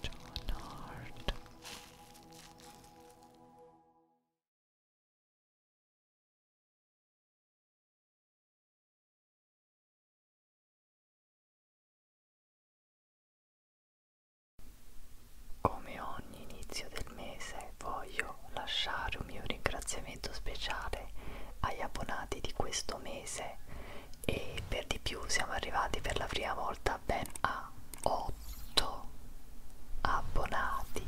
John Hart come ogni inizio del mese voglio lasciare un mio ringraziamento speciale agli abbonati di questo mese e per di più siamo arrivati per la prima volta ben a 8 abbonati.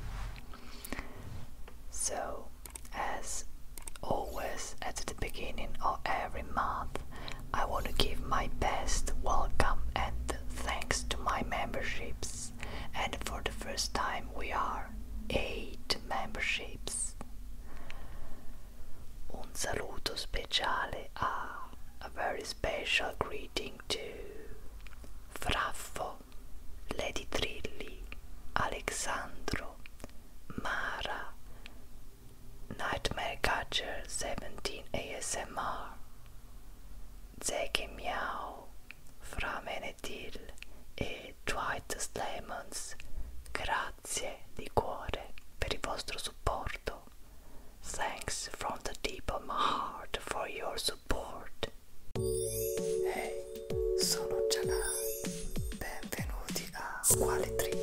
So, as always at the beginning of every month, I want to give my best welcome and thanks to my memberships. And for the first time, we are 8 memberships. Un saluto speciale a a very special greeting to Fraffo, Lady Trilli, Alexandro, Mara, Nightmare Catcher 17 ASMR, Zeke Miao, Fra Menethil e Dwight Slemons. Grazie Grazie di cuore per il vostro supporto. Thanks from the deep of my heart for your support. Hey, sono Janai. Benvenuti a Quali Trick.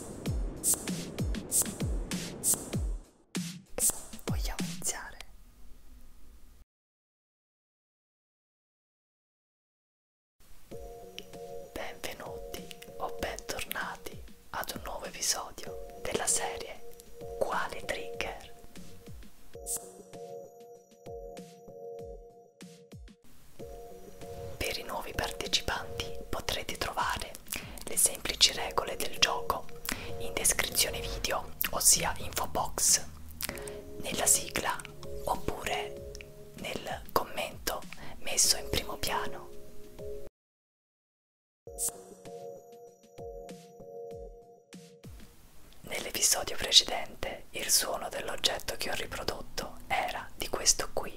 Vogliamo iniziare? Benvenuti o bentornati ad un nuovo episodio della serie Quale Trigger? Per i nuovi partecipanti potrete trovare le semplici regole del gioco in descrizione video, ossia info box, nella sigla oppure nel commento messo in primo piano. Nell'episodio precedente il suono dell'oggetto che ho riprodotto era di questo qui.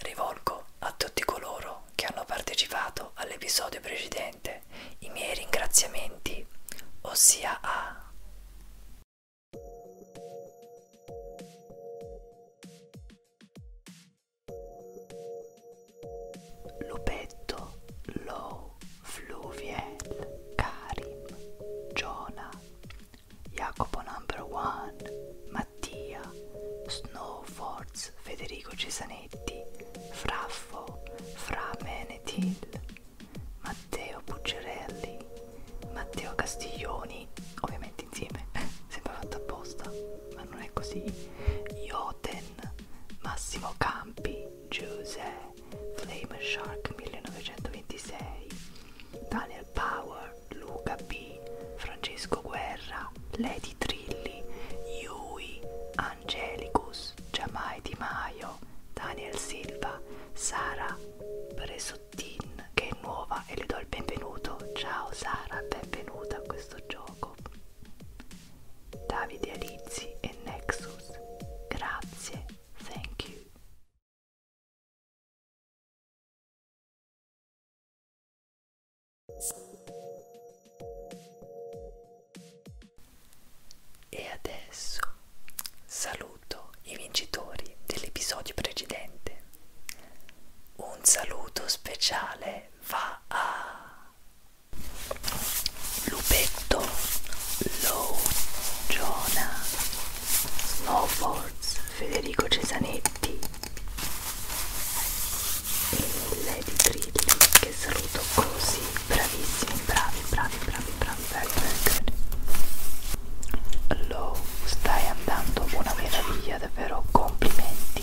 Rivolgo a tutti coloro che hanno partecipato all'episodio precedente i miei ringraziamenti, ossia a Lupetto, Low, Fluviel, Karim, Jonah, Jacopo Number One, Mattia, Snowforz, Federico Cesanetti, Fraffo, Fra Menetil, Matteo Pucciarelli, Matteo Castiglioni, ovviamente insieme, sembra fatto apposta, ma non è così, Ioten, Massimo Campi, Giuse, Flame Shark 1926, Daniel Power, Luca B, Francesco Guerra, Lady Trilli, Yui, Angelicus, Giamai Di Maio, Daniel Silva, Sara Presottin che è nuova e le do il benvenuto. Ciao Sara, benvenuta a questo gioco. Davide Alizzi e Nexus. Grazie, thank you. E adesso saluto i vincitori dell'episodio precedente. Un saluto speciale va a Lupetto, Low, Giona, Snowboards, Federico Cesanetti e Lady Trilli che saluto così, bravissimi, bravi, bravi, bravi, bravi, bravi, bravi. Low, stai andando una meraviglia, davvero complimenti.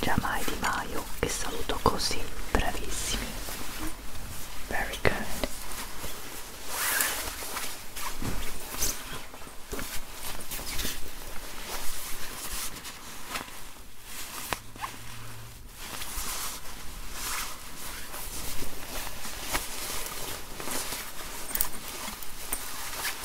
Giamai Di Maio che saluto così, bravissimi. Very good.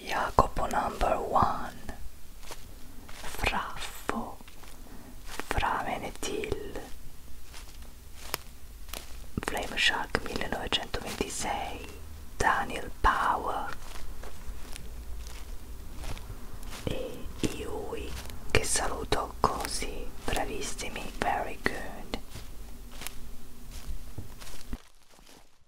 Jacopo number one Fraffo Framenetil Flame Shark 1926 Daniel Power e Yui che saluto così bravissimi very good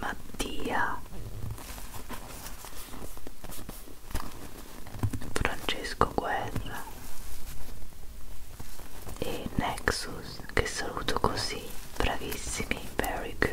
Mattia Francesco Guerra e Nexus che saluto così bravissimi very good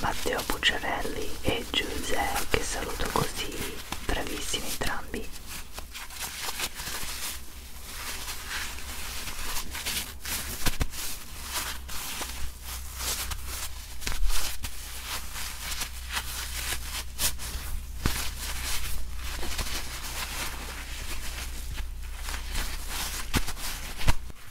Matteo Bucciarelli e Giuseppe che saluto così, bravissimi entrambi.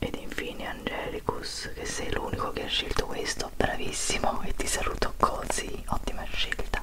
Ed infine Angelicus, che sei l'unico che ha scelto questo, bravissimo e ti saluto così, ottima scelta.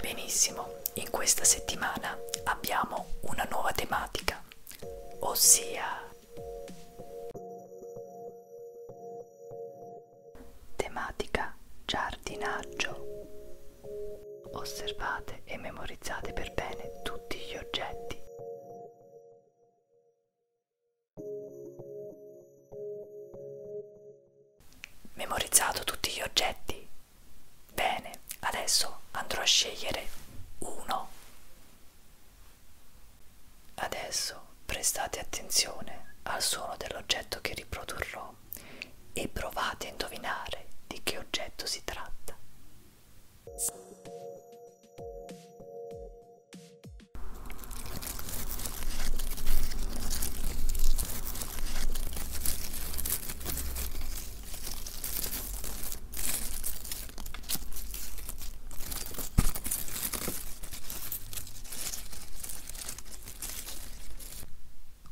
Benissimo, in questa settimana abbiamo una nuova tematica, ossia tematica giardinaggio. Osservate e memorizzate per bene tutti gli oggetti. Memorizzato tutti gli oggetti? Bene, adesso andrò a scegliere uno. Adesso prestate attenzione al suono dell'oggetto che riprodurrò e provate a indovinare di che oggetto si tratta.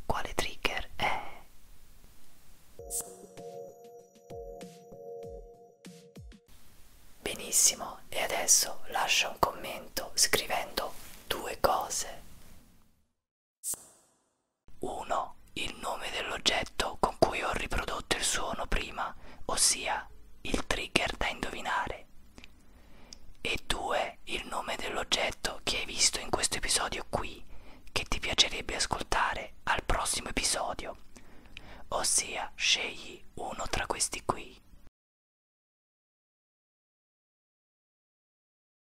Quale trigger è? Benissimo, e adesso lascia un commento scrivendo due cose. 1. Il nome dell'oggetto con cui ho riprodotto il suono prima, ossia il trigger da indovinare. E 2. Il nome dell'oggetto che hai visto in questo episodio qui, che ti piacerebbe ascoltare al prossimo episodio. Ossia, scegli uno tra questi qui.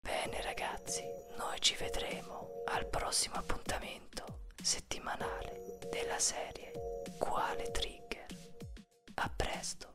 Bene ragazzi, noi ci vedremo al prossimo appuntamento settimanale della serie Quale Trigger. A presto!